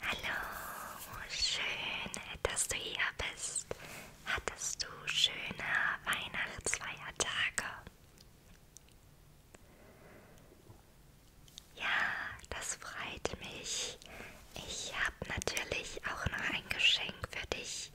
Hallo, schön, dass du hier bist. Hattest du schöne Weihnachtsfeiertage? Ja, das freut mich. Ich habe natürlich auch noch ein Geschenk für dich,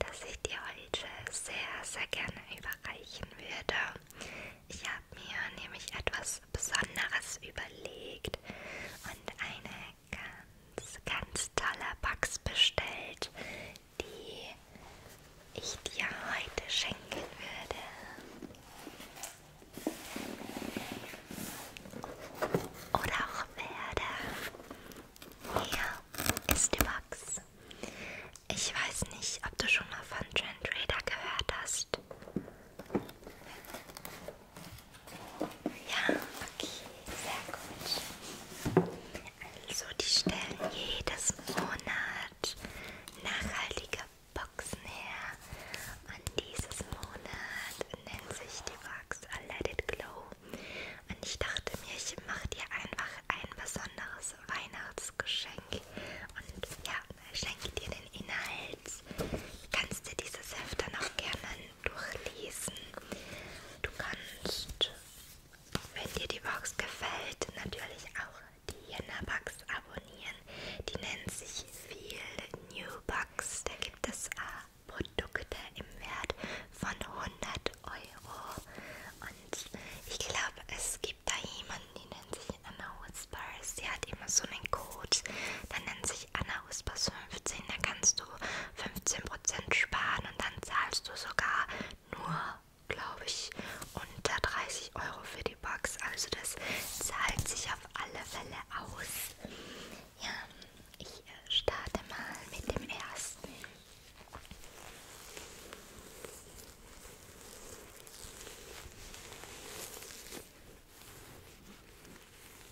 das ich dir heute sehr, sehr gerne überreichen würde. Ich habe mir nämlich etwas Besonderes überlegt und eine ganz, ganz tolle Box bestellt, die ich dir heute schenken würde. Oder auch werde. Hier ist die Box. Ich weiß nicht, ob du schon mal von Trend Raider gehört hast. Ja, okay, sehr gut. Also die stellen jedes Monat nachhaltige Boxen her. Und dieses Monat nennt sich die Box A Let It Glow. Und ich dachte mir, ich mache dir einfach ein besonderes Weihnachtsgeschenk. Und ja, schenke dir den Inhalt ist, kannst du diese Hefte noch gerne durchlesen. Du kannst, wenn dir die Box gefällt, natürlich auch die Jena-Box abonnieren. Die nennt sich Feel New Box. Da gibt es äh, Produkte im Wert von 100 Euro. Und ich glaube, es gibt da jemanden, die nennt sich Anna Whisper. Sie hat immer so einen Code, der nennt sich sich Anna Whispers 15, da kannst du 15% sparen und dann zahlst du sogar nur, glaube ich, unter 30 Euro für die Box. Also das zahlt sich auf alle Fälle aus. Ja, ich äh, starte mal mit dem ersten.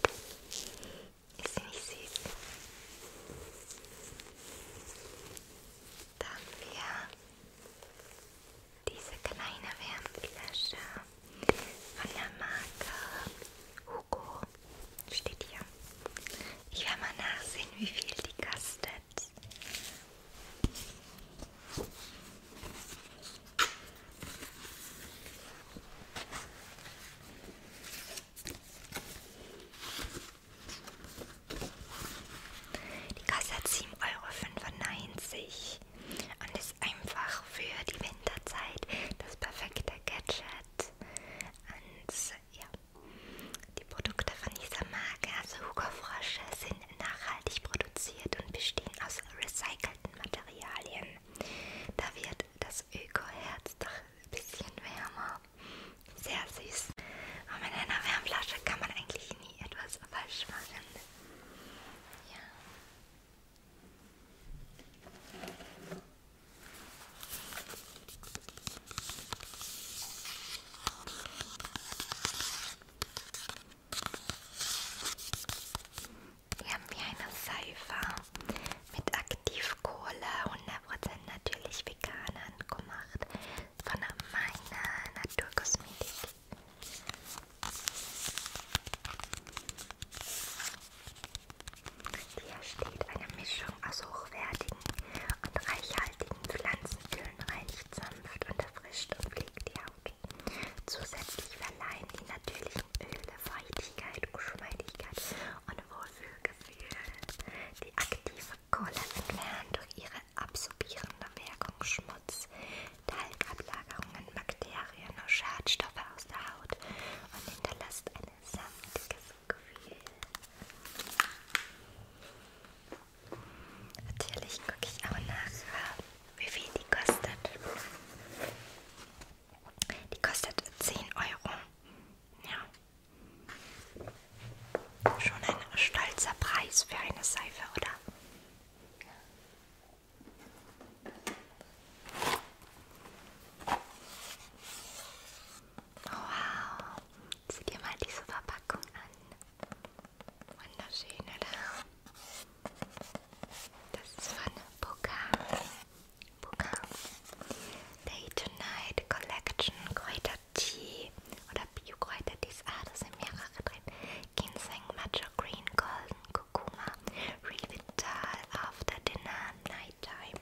Ist sie nicht süß? Dann wir diese kleine Wärmflasche von der Marke Hugo. Steht hier. Ich werde mal nachsehen, wie viel die kostet. Die Kasse hat 7,95 Euro und ist einfach für die Winterzeit das perfekte Gadget. Und ja, die Produkte von dieser Marke, also Hugo Frosche, sind nachhaltig produziert und bestehen aus recycelten Materialien. Da wird das Öko-Herz doch ein bisschen wärmer. Sehr süß. Aber mit einer Wärmflasche kann man eigentlich nie etwas falsch machen. Ja. Hier haben wir eine Seife mit Aktivkohle, 100% natürlich vegan angemacht von meiner Naturkosmetik. Hier steht eine Mischung aus hochwertigen und reichhaltigen Pflanzenölen, reinigt sanft, unterfrischt und pflegt die Haut. Zusätzlich verleihen die natürlichen Öle Feuchtigkeit, Geschmeidigkeit und Wohlfühlgefühl. Die aktive Kohle entfernt durch ihre absorbierende Wirkung Schmutz, Talgablagerungen, Bakterien und Schadstoffe aus der Haut und hinterlässt ein samtiges Gefühl. Natürlich gucke ich auch nach, wie viel die kostet. Die kostet 10 Euro. Ja. Schon ein stolzer Preis für eine Seife, oder? Oh, wow, sieh dir mal diese Verpackung an. Wunderschön, oder? Das ist von Pokal. Pokal. Day to Night Collection Kräutertee oder Bio-Kräutertee. Ah, das sind mehrere drin. Ginseng, Matcha Green, Golden, Kurkuma, Revital, After Dinner, Nighttime.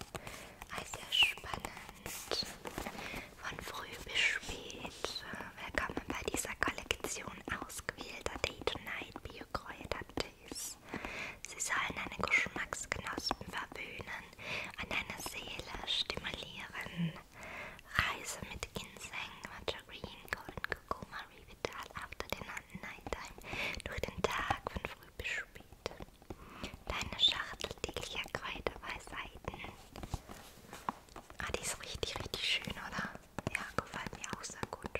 Also spannend. Von früh bis spät. Willkommen bei dieser Kollektion ausgewählter Day to Night Bio-Kräutertee. Smoothies. Sie sollen deine Geschmacksknospen verwöhnen, an deine Seele stimulieren. Reise mit Ginseng, Margarine, Golden Kurkuma, Revital, After Dinner, Nighttime, durch den Tag von früh bis spät. Deine Schachtel täglicher Kräuterweisheiten. Ah, die ist richtig, richtig schön, oder? Ja, gefällt mir auch sehr gut.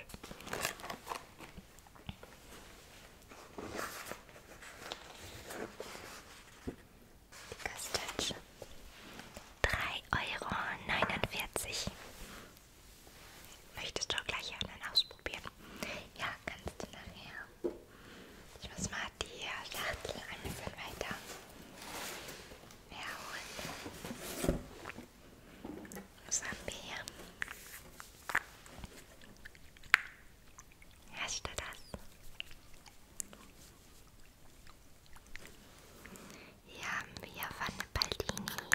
Die Kastanie. 3,49 Euro. Möchtest du gleich einen ausprobieren? Ja, kannst du nachher. Ich muss mal die Schachtel ein bisschen weiter herholen. Was haben wir hier? Herrscht da das? Hier haben wir von Baldini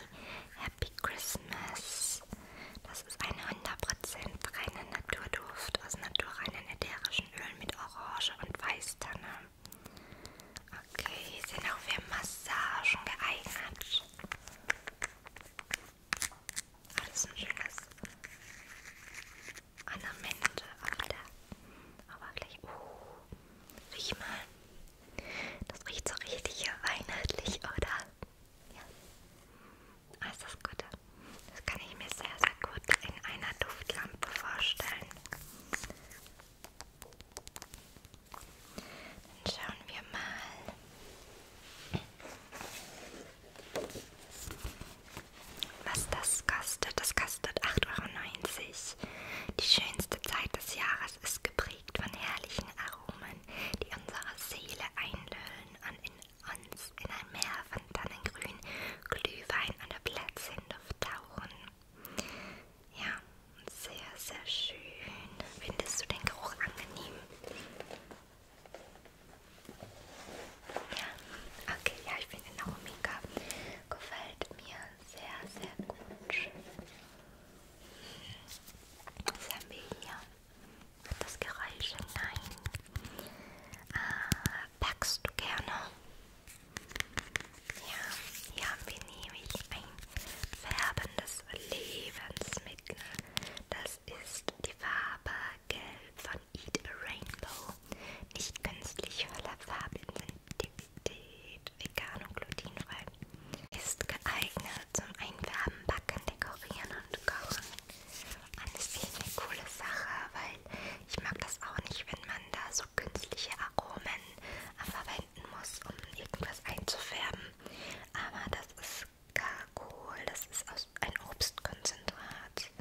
Happy Christmas. Das ist ein 100% reiner Naturduft aus naturreinen ätherischen Ölen mit Orange und Weißtanne. Okay, sind auch für Massagen geeignet. Ah, das ist ein schönes Ornament. Aber der. Aber gleich. Uh, riech mal. Das riecht so richtig weihnachtlich, oder? Ja. Ah, ist das gut. Das kann ich mir sehr, sehr gut in einer Duftlampe vorstellen. Dann schauen wir mal, was das kostet. Das kostet 8,90 Euro. Die schönste Zeit des Jahres ist geprägt von herrlichen Aromen, die unsere Seele einlöhlen und in uns in ein Meer von Tannengrün, Glühwein und Plätzchen tauchen. Ja, sehr, sehr schön. Findest du den Geruch angenehm? Ja, okay, ja, ich finde den Aromika. Gefällt mir sehr, sehr gut. Was haben wir hier? Das Geräusch? Nein. Ah, backst du gerne? Ja, hier haben wir nämlich ein färbendes Lebensmittel schmücken. Das ist die Farbe Gelb von Eat a Rainbow. Nicht künstlich voller Farbintensität, vegan und glutenfrei. Ist geeignet zum Einfärben, Backen, Dekorieren und Kochen. Und das ist eh eine coole Sache, weil ich mag das auch nicht, wenn man da so künstliche Aromen verwendet blenden muss, um irgendwas einzufärben. Aber das ist Gargohl, das ist aus, ein Obstkonzentrat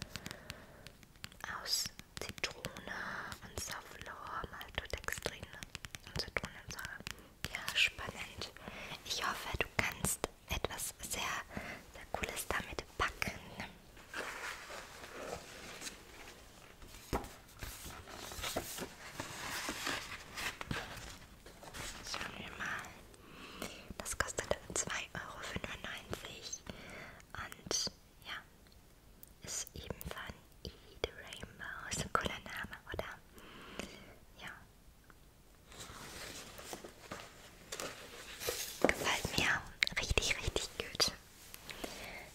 aus Zitrone und Sauvlor, Maltodextrine und Zitronensäure. Ja, spannend. Ich hoffe, du kannst etwas sehr, sehr Cooles damit backen. Schauen wir mal. Das kostet 2,95 Euro. Und ja, ist eben von E the Rainbow. Ist ein cooler Name, oder? Ja. Gefällt mir richtig, richtig gut.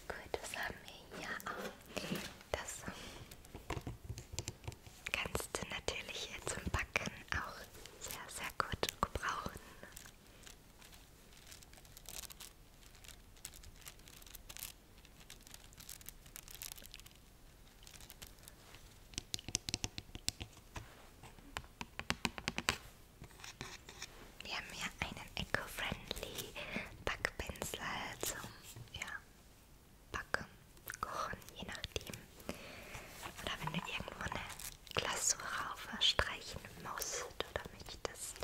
Gut, was haben wir hier? Oh, das kannst du natürlich hier zum Backen auch sehr, sehr gut gebrauchen. Wir haben hier einen eco-friendly Backpinsel zum ja, backen, kochen, je nachdem. Oder wenn du irgendwo eine Glasur rauf streichen musst oder möchtest.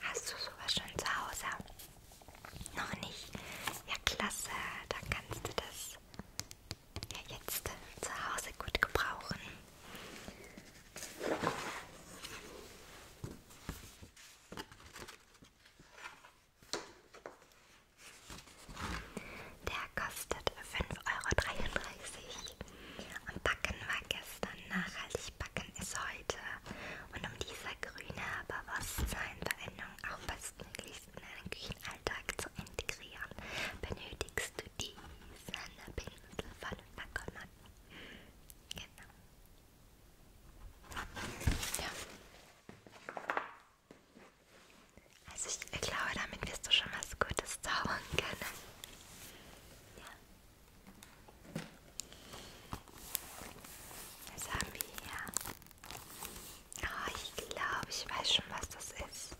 Hast du sowas schon zu Hause? Noch nicht? Ja, klasse. Dann kannst du das ja jetzt zu Hause gut gebrauchen. Der kostet 5,33 Euro. Und Backen war gestern, nachhaltig also Backen ist heute. Und um dieser grüne Bewusstseinveränderung auch bestmöglichst in deinen Küchenalltag zu integrieren, benötigst du diesen Pinsel von Bacoman. Genau. Ja. Also ich glaube, damit wirst du schon was Gutes zaubern können. Ja. Was haben wir hier? Oh, ich glaube, ich weiß schon, was das ist.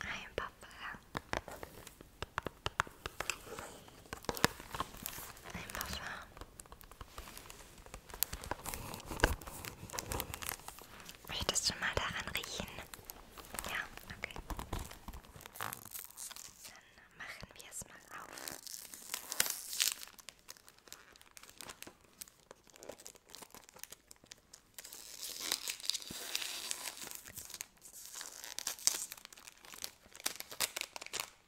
Ein Parfum. Ein Parfum. Möchtest du mal daran riechen? Ja, okay. Dann machen wir es mal auf.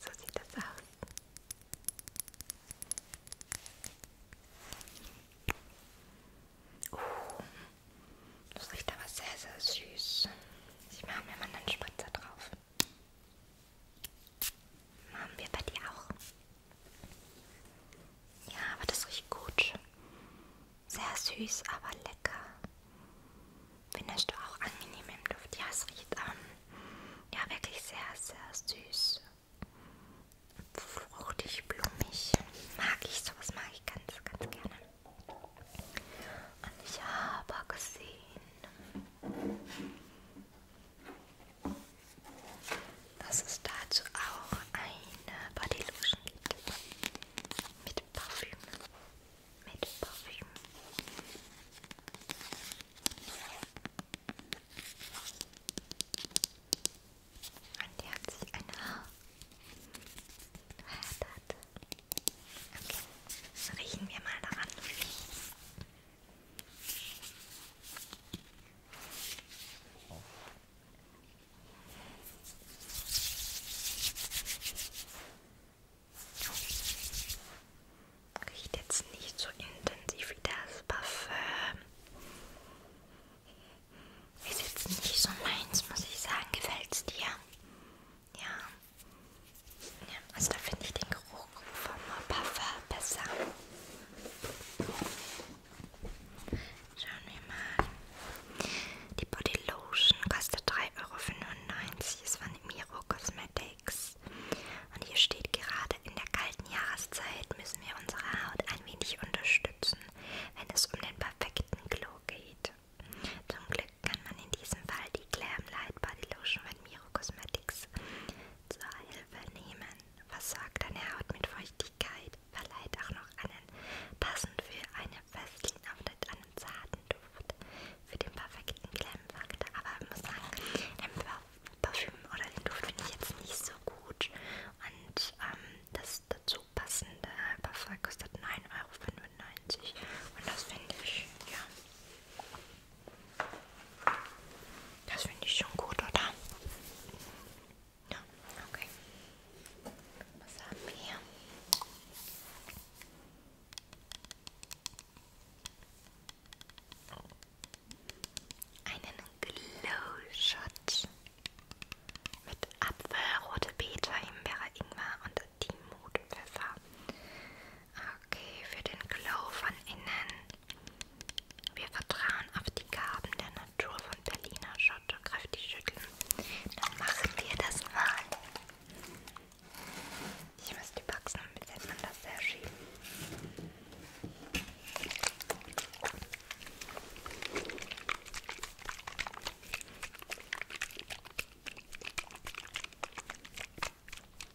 So sieht das aus. Uh, das riecht aber sehr, sehr süß. Ich mache mir mal einen Spritzer drauf. Haben wir bei dir auch? Ja, aber das riecht gut. Sehr süß, aber lecker. Findest du auch angenehm im Duft? Ja, es riecht ähm, ja wirklich sehr, sehr süß. Fruchtig, blumig. Mag ich, sowas mag ich ganz, ganz gerne. Und ich habe gesehen, dass es dazu auch eine Bodylotion gibt. Mit Parfüm. Mit Parfüm. Und die hat sich ein Haar verheddert. Okay, riechen wir mal daran. Riecht jetzt nicht so intensiv wie das Parfüm. Ist jetzt nicht so meins, muss ich sagen. Gefällt's dir? Ja. ja also da finde ich den Geruch Geruch vom Parfum besser. Schauen wir mal. Die Body Lotion kostet 3,95 Euro. Ist von Miro Cosmetics. Und hier steht gerade, in der kalten Jahreszeit müssen wir unsere Haut ein wenig unterstützen, wenn es um den perfekten Glow geht. Zum Glück kann man in diesem Fall die Glam Light Body Lotion von Miro Cosmetics zur Hilfe nehmen versorgt deine Haut mit Feuchtigkeit, verleiht auch noch einen passend für eine Vaseline und einen zarten Duft für den perfekten Glam-Faktor. Aber ich muss sagen, den Parfüm oder den Duft finde ich jetzt nicht so gut. Und ähm, das dazu passende Parfum kostet 9,95 Euro. Und das finde ich, ja, das finde ich schon gut, oder? Ja, okay. Was haben wir hier? Einen Glow-Shot mit Apfel, rote Beete, Himbeere, Ingwer und Timotpfeffer. Okay, für den Glow von innen wir vertrauen auf die Gaben der Natur von Berliner Schotte. Kräftig schütteln. Dann machen wir das mal. Ich muss die Box noch mit man das sehr schieben.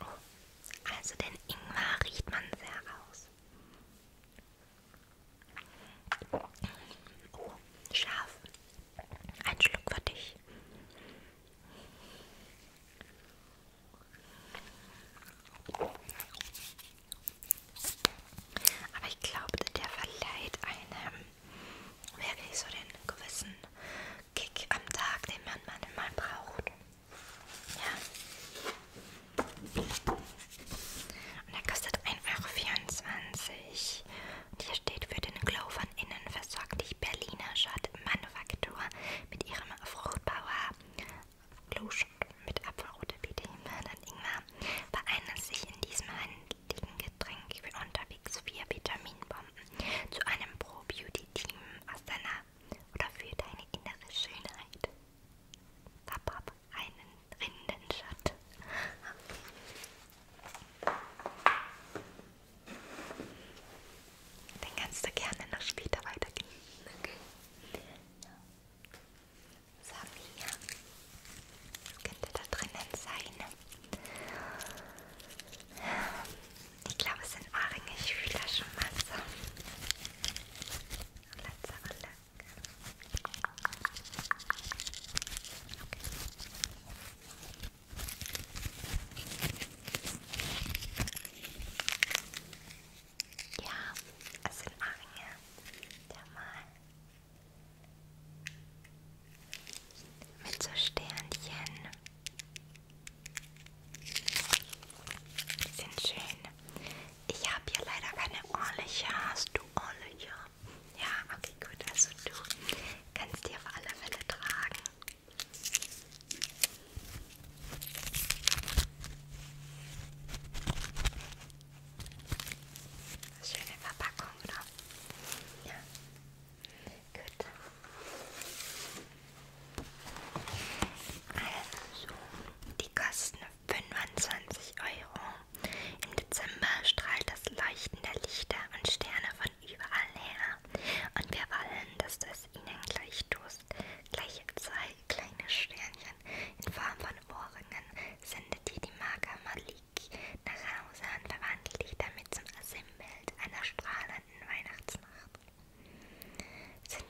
Oh, also den Ingwer riecht man sehr aus. Oh, scharf. Ein Schluck für dich. Aber ich glaube, der verleiht einem wirklich so den gewissen Kick am Tag, den man manchmal braucht. Ja. Und der kostet 1,24 Euro. Und hier steht für den Glow von innen versorgt die Berliner Schott-Manufaktur mit ihrem Fruchtbauer Glowshot mit Apfelrote, Biete, und Ingwer vereinen sich in diesem handlichen Getränk für unterwegs vier Vitaminbomben zu einem Pro-Beauty-Team aus deiner oder für deine innere Schönheit. Papap, einen Rindenschatten. Den kannst du gerne noch später weitergeben. Okay. Sabia könnte da drinnen sein. Ich glaube, es sind Ohrringe. Ich fühle das schon mal so. Letzte Runde. Okay. Ja, es sind Ohrringe. Der mal. Mit so Sternchen. Die sind schön. Ich habe hier leider keine ordentliche. Hast du ordentliche? Ja, okay, gut. Also du kannst die auf alle Fälle tragen. Schöne Verpackung, oder? Ja. Gut. Also, die kosten 25 Euro. Im Dezember strahlt das Leuchten der Lichter und Sterne von überall her. Und wir wollen, dass das Ihnen gleich tust. Gleich zwei kleine Sternchen in Form von Ohrringen sendet dir die Marke Malik nach Hause und verwandelt dich damit zum Sinnbild einer strahlenden Weihnachtsnacht sind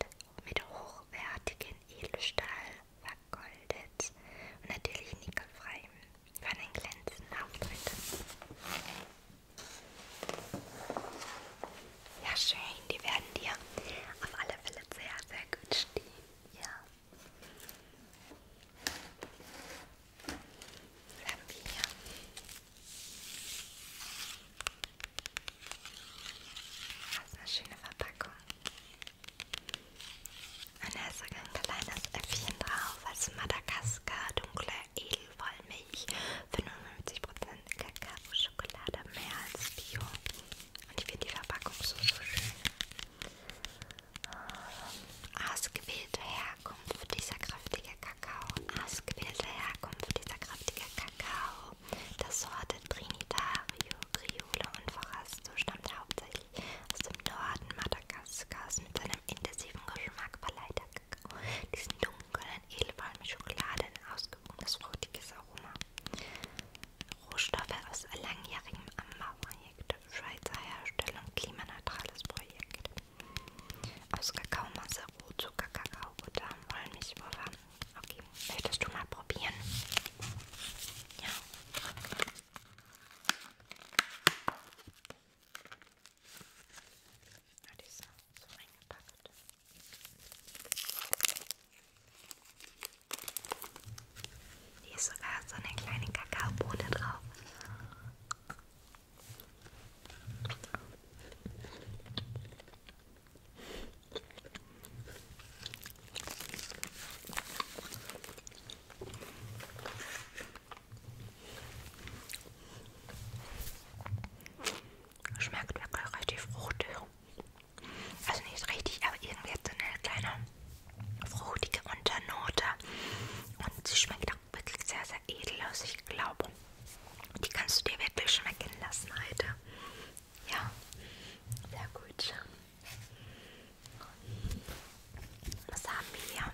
mit hochwertigen Edelstahl vergoldet und natürlich nickelfrei. Für einen glänzenden Auftritt. Ja, schön, die werden dir auf alle Fälle sehr, sehr gut stehen. Ja. Dann haben wir hier das ist eine schöne Verpackung. Und da ist sogar ein kleines Äpfchen drauf, also Madagaskar, dunkle Edelwollmilch, 55% Kakao-Schokolade, mehr als Bio. Und ich finde die Verpackung so, so schön. Ähm, Ausgewählte Herkunft dieser kräftige Kakao. Ausgewählte Herkunft dieser kräftige Kakao. Kakao der Sorte Trinitario, Criollo und Forasto stammt hauptsächlich aus dem Norden Madagaskars mit seinem intensiven Geschmack verleiht der Kakao diesen dunklen, edelfallen mit Schokolade ein ausgewogenes, fruchtiges Aroma. Rohstoffe aus langjährigem Anbauprojekt, Schweizer Herstellung, klimaneutrales Projekt aus Kakaomasse, Rohzucker, Kakaobutter, Wollmilchpulver. Okay, möchtest du mal probieren? Ja. Na, die ist so eingepackt. Hier ist sogar so eine kleine Kakaobohne drauf. Schmeckt wirklich richtig fruchtig. Also nicht richtig, aber irgendwie hat so eine kleine fruchtige Unternote. Und sie schmeckt auch wirklich sehr, sehr edel aus. Ich glaube, die kannst du dir wirklich schmecken lassen heute. Ja, sehr gut. Was haben wir hier?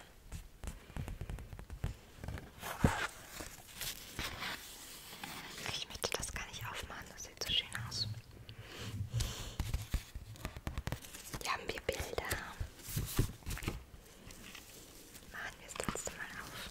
Ich möchte das gar nicht aufmachen, das sieht so schön aus. Hier haben wir Bilder. Machen wir das letzte Mal auf.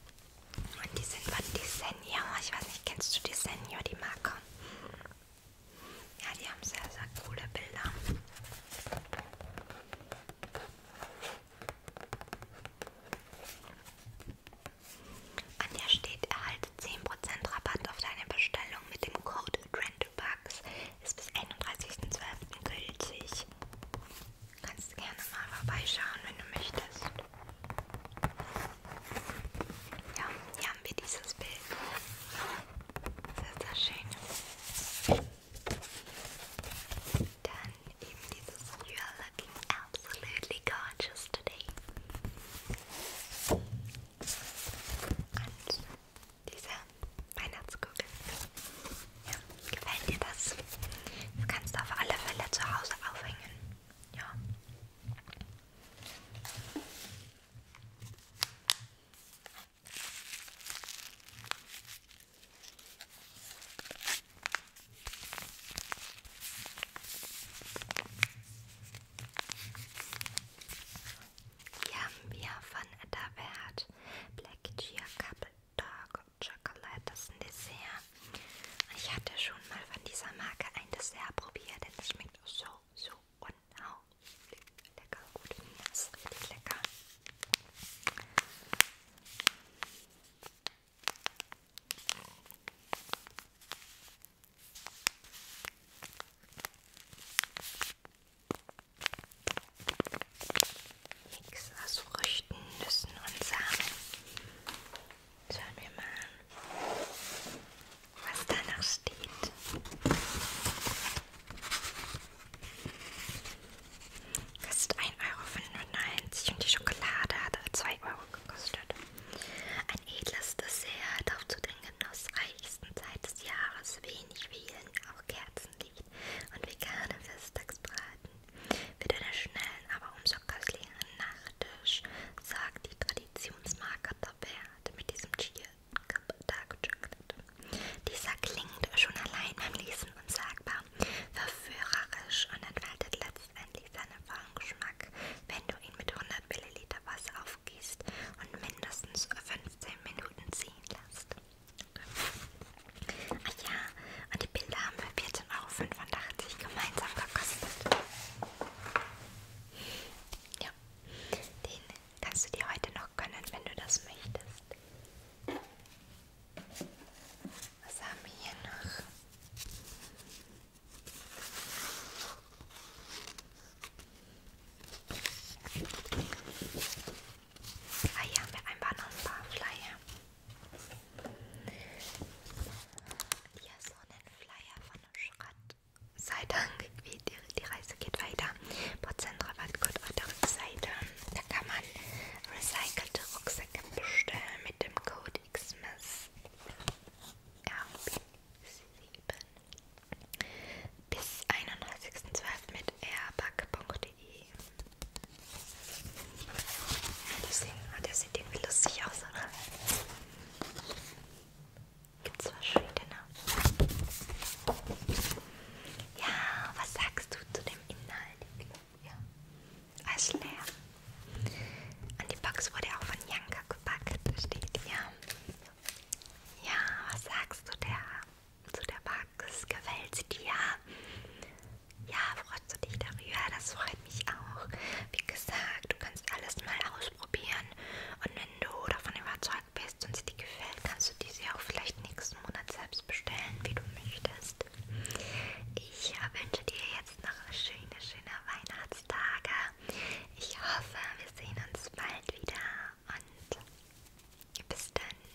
Und die sind von Desenio. Ich weiß nicht, kennst du Desenio, die Marke? Ja, die haben sehr, sehr coole Bilder. An der steht, erhalte 10% Rabatt auf deine Bestellung mit dem Code TrendBugs. Ist bis 31.12. gültig. Kannst du gerne mal vorbeischauen, wenn du möchtest. Ja, hier haben wir dieses Bild. Sehr, sehr schön. Dann eben dieses You're looking absolutely gorgeous today. Und diese Weihnachtskugel. Ja, gefällt dir das? Du kannst auf alle Fälle zu Hause aufhängen. Ja. Hier haben wir von Etterwert Black Cheer Couple Dark Chocolate, das ist ein Dessert. Ich hatte schon mal von dieser Marke ein Dessert probiert, denn es schmeckt so, so unheimlich lecker. Gut, das ist richtig lecker. Mix aus Früchten, Nüssen und Samen. Schauen wir mal an, was danach steht. Kostet 1,95 Euro und die Schokolade hat 2 Euro gekostet. Ein edles Dessert, auch zu den genussreichsten Zeit des Jahres, wenig Wählen, auch Kerzenlicht und vegane Festtagsbraten. Für deinen schnellen, aber umso köstlicheren Nachtisch sorgt die Traditionsmarke Tabert mit diesem Cheer Dark Chocolate. Dieser klingt schon allein beim Lesen unsagbar, verführerisch und entfaltet letztendlich seinen vollen Geschmack, wenn du ihn mit 100 ml Wasser aufgießt und mindestens 15 Minuten ziehen lässt. Ach ja, und die Bilder haben wir 14,85 Euro gemeinsam gekostet. Ja, den kannst du dir heute noch gönnen, wenn du das möchtest. Was haben wir hier noch? Ah, hier haben wir einfach noch ein paar Flyer. Hier so einen Flyer von einem Schrott. Sei Dank, wie die, die Reise geht weiter. Prozentrabattcode auf der Seite. Da kann man recycelte Rucksäcke bestellen mit dem Code XMS. RB7 bis 31.12 mit airbag.de Deswegen, ah, der sieht irgendwie lustig aus, oder? Gibt es verschiedene. Ja, was sagst du zu dem Inhalt? Ja. Alles leer. An die Box wurde auch von Janka gepackt, steht ja. Ja, was sagst du der, zu der Box? Gefällt sie dir? Ja, freust du dich darüber? Das freut mich auch. Wie gesagt, du kannst alles mal ausprobieren und wenn du davon überzeugt bist und sie dir gefällt, kannst du diese auch vielleicht nächsten Monat selbst bestellen, wie du möchtest. Ich wünsche dir jetzt noch schöne, schöne Weihnachtstage. Ich hoffe, wir sehen uns bald wieder und bis dann.